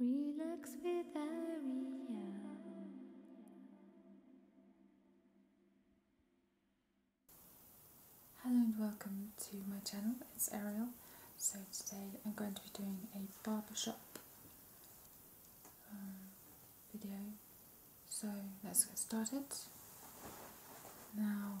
Relax with Aria. Hello and welcome to my channel, it's Ariel. So today I'm going to be doing a barbershop um, video. So let's get started. Now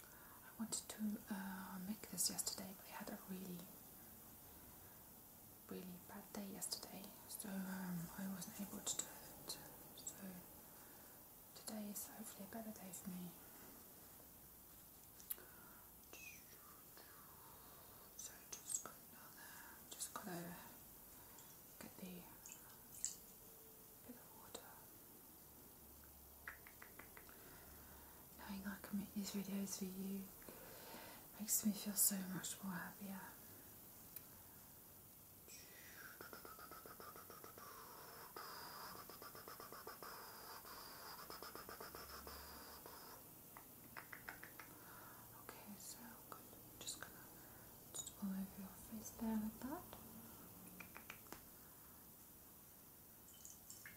I wanted to uh, make this yesterday, but I had a really, really bad day yesterday, so um, I wasn't able to do it. So today is hopefully a better day for me. So just got another, just got to get the bit of water. Knowing I can make these videos for you makes me feel so much more happier. Okay, so just gonna just all over your face there like that.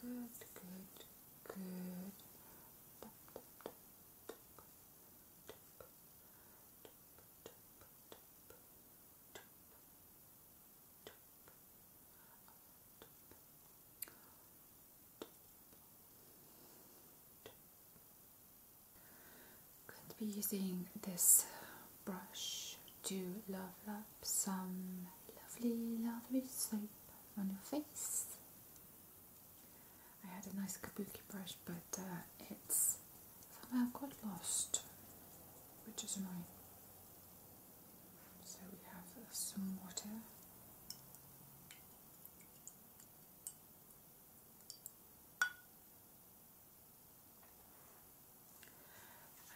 Good, good, good. Tap, tap, Could be using this brush to love up some lovely, lovely sleep on your face. I had a nice kabuki brush, but uh, it's somehow got lost, which is annoying. So we have some water.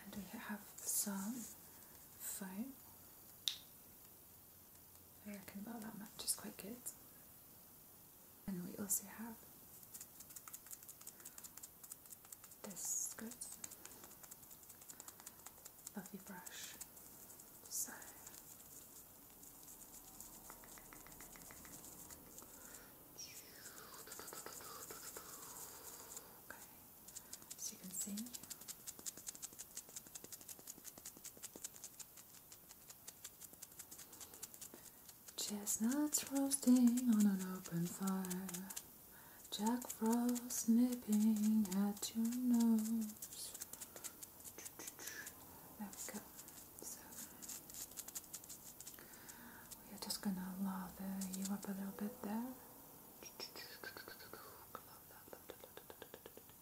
And we have some foam. I reckon about that much is quite good. And we also have this good fluffy brush. So Okay, you can see Chestnuts roasting on an open fire, Jack Frost nipping at your nose. There we go. So we are just gonna lather you up a little bit there.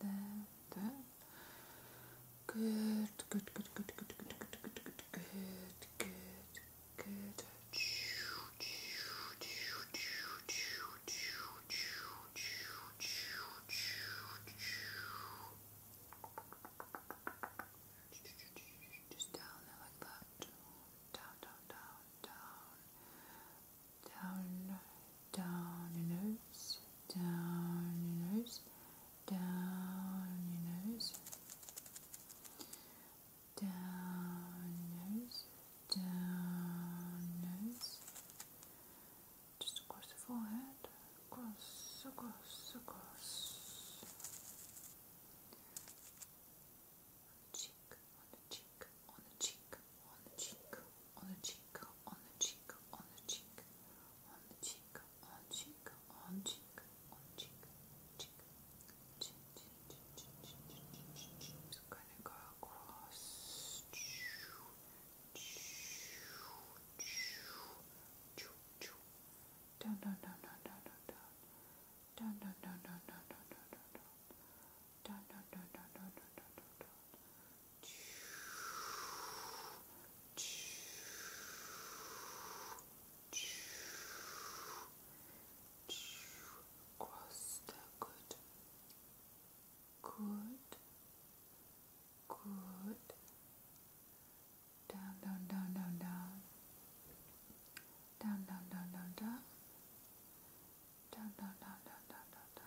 there, there. Good, good, good, good, good, good, good, good, good, good, good, good. Just down there like that. Down, down, down, down. Down, down your nose, down your nose, down your nose, down your nose, down your nose, just across the forehead, across, across, across. On cheek, on the cheek, on the cheek, on the cheek, on the cheek, on the cheek, on the cheek, on the cheek, Onçik, onçik, onçik, onçik. gonna go across. Cross the good, good, good. Down, down, down, down, down. Down, down, down, down, down. Down, down, down, down, down, down, down.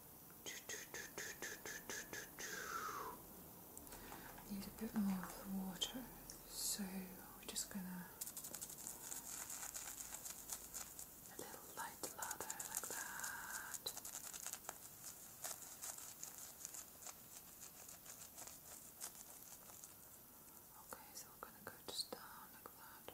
Need a bit more of the water, so we're just gonna a little light lather like that. Okay, so we're gonna go just down like that.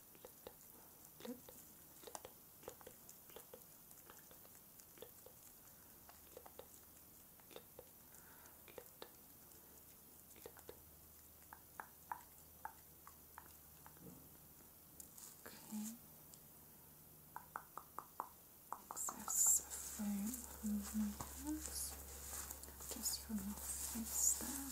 Okay. Excess foam from my hands, just from your face there. Okay.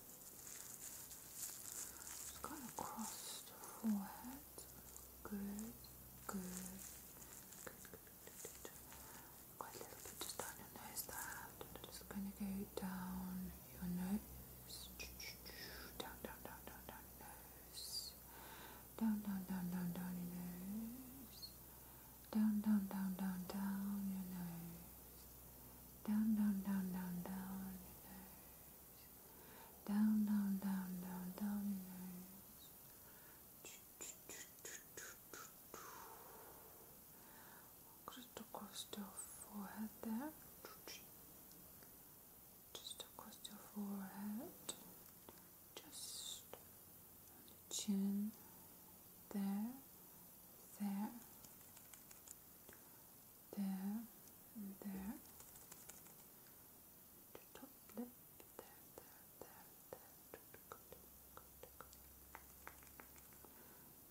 Just going across the forehead. Good, good, good, a little bit just down your nose there. Just going to go down your nose. Down, down, down, down, down your nose. Down, down, down, down, down your nose. Down, down, down, down, down your nose. Down, down, down, down, down, reverse. Down, down, down, down, down, reverse. Just across your forehead there. Just across your forehead. Just on the chin. There, there there and there. The top lip, there, there, there, there.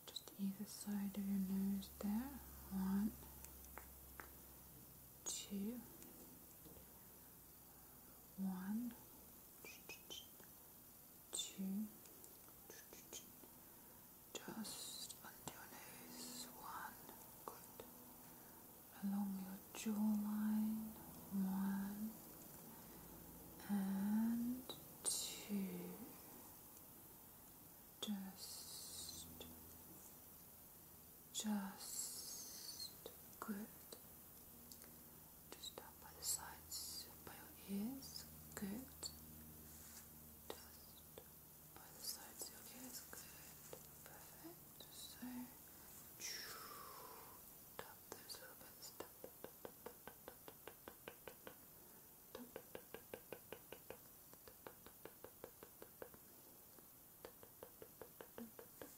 Just either side of your nose there. One, two, one, two, just under your nose, one, good, along your jawline, one, and two, just, just, good, just up by the sides, by your ears, good just by the sides of your ears. Good. Perfect. So, tap those little bits. Tap, tap, tap, tap, tap, tap, tap, tap, Good.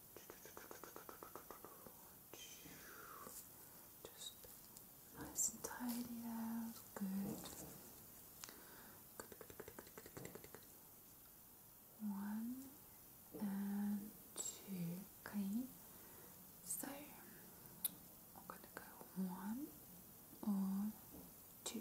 Just nice and tidy out. Good. Good, good, good, good, good, good, One and two. Okay. So I'm gonna go one or two.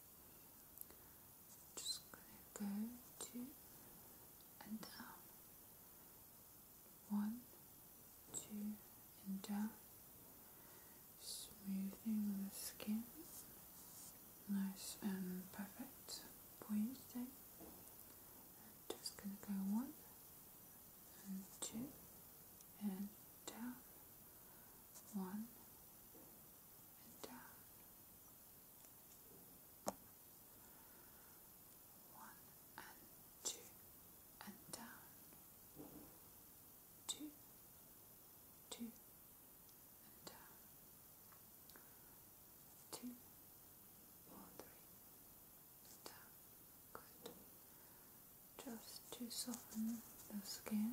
just gonna go two and down one two and down smoothing the skin nice and perfect for just gonna go one and two and down one and down. Uh, one and two and down. Two, two and down. Two, down. Good. Just to soften the skin.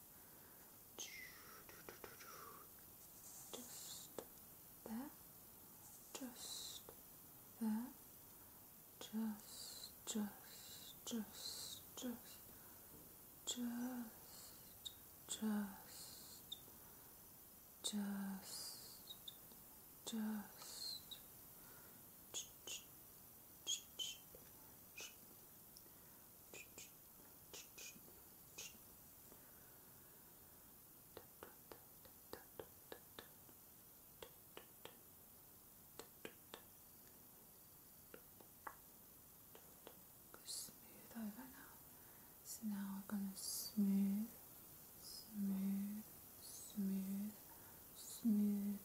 just there, just there, just, just, just, just, just, just, just, just. Just, Smooth over now. So now we're going to smooth, smooth, smooth, smooth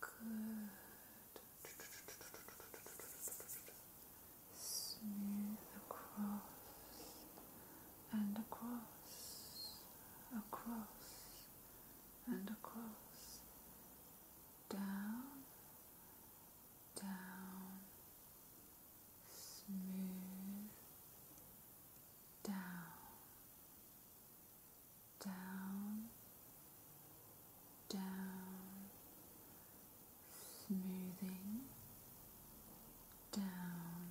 Good. Smooth across and across, across and across, down, down, smooth, down, down, down, smoothing, down,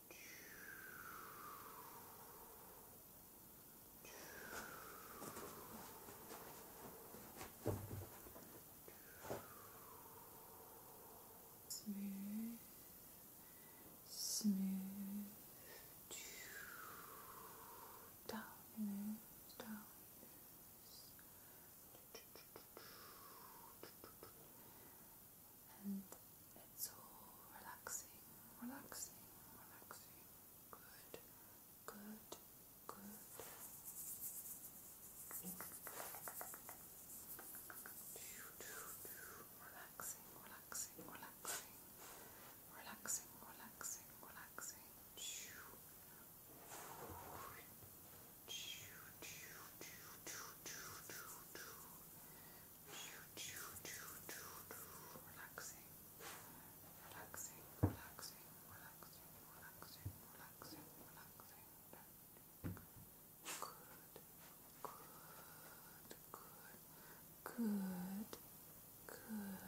Smooth, smooth, down your nose, down your nose, and it's all relaxing, relaxing, relaxing. Good, good, good. Relaxing, relaxing, relaxing. Relaxing, relaxing, relaxing. Relaxing, relaxing, relaxing. Relaxing, relaxing, relaxing, relaxing, relaxing, relaxing, relaxing. Good, good, good, good, good. Good.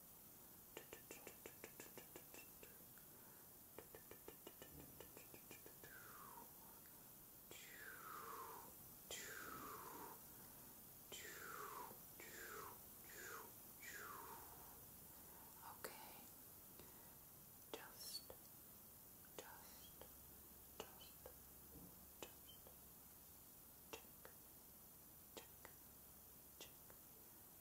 Okay, just, just, just, just check, check, check, check,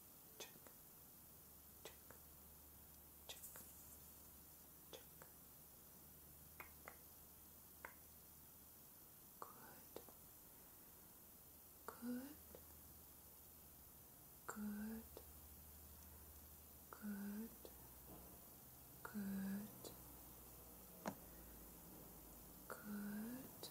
check, check, check, check. Good, good, good, good, good, good,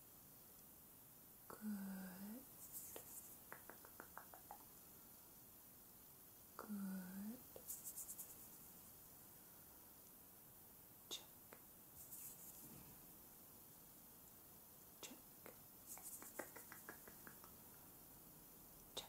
Good. Good. Check. Check. Check. Check.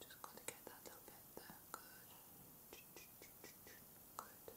Just got to get that little bit there. Good. Good. That little bit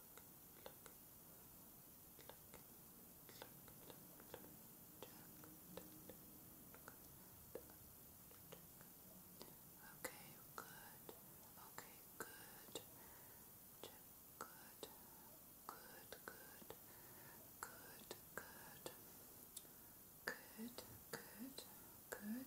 Okay, good. Okay, good. Check, good. Good, good. Good, good. Good, good, good. Good, good, good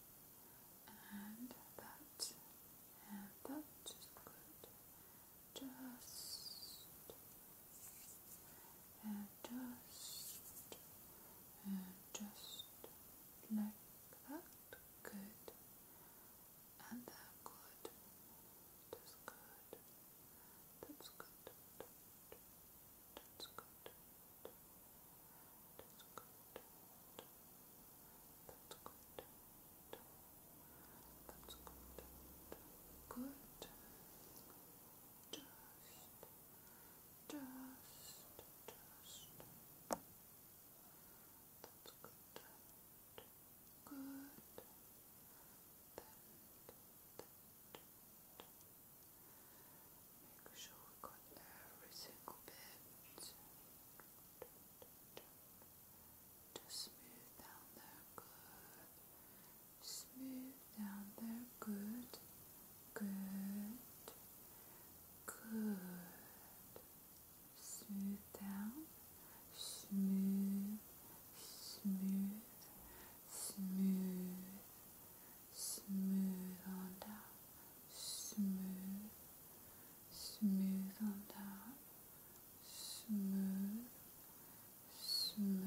and that, and that is good. Just, and just, and just like that. Good, and That's good. That's good. That's good. That's good. That's good. That's good. That's good. That's good. Good. Just, just, just. That's good. Good. That, that, that. Make sure we got every single bit. Good. Just smooth down there, good. Smooth down there, good. Good. Good. Smooth down. Smooth. Smooth. Smooth. Smooth on down. Smooth smooth on top, smooth, smooth,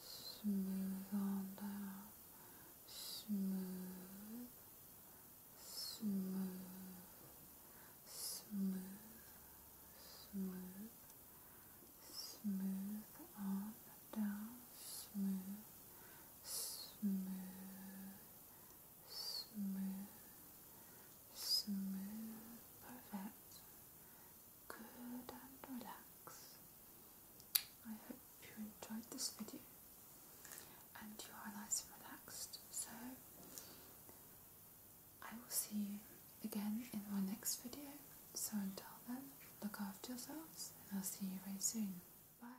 smooth on top, smooth, smooth, smooth, smooth, smooth on down, smooth, smooth. Smooth, smooth, smooth, perfect, good and relaxed. I hope you enjoyed this video and you are nice and relaxed. So I will see you again in my next video. So until then, look after yourselves and I'll see you very soon. Bye.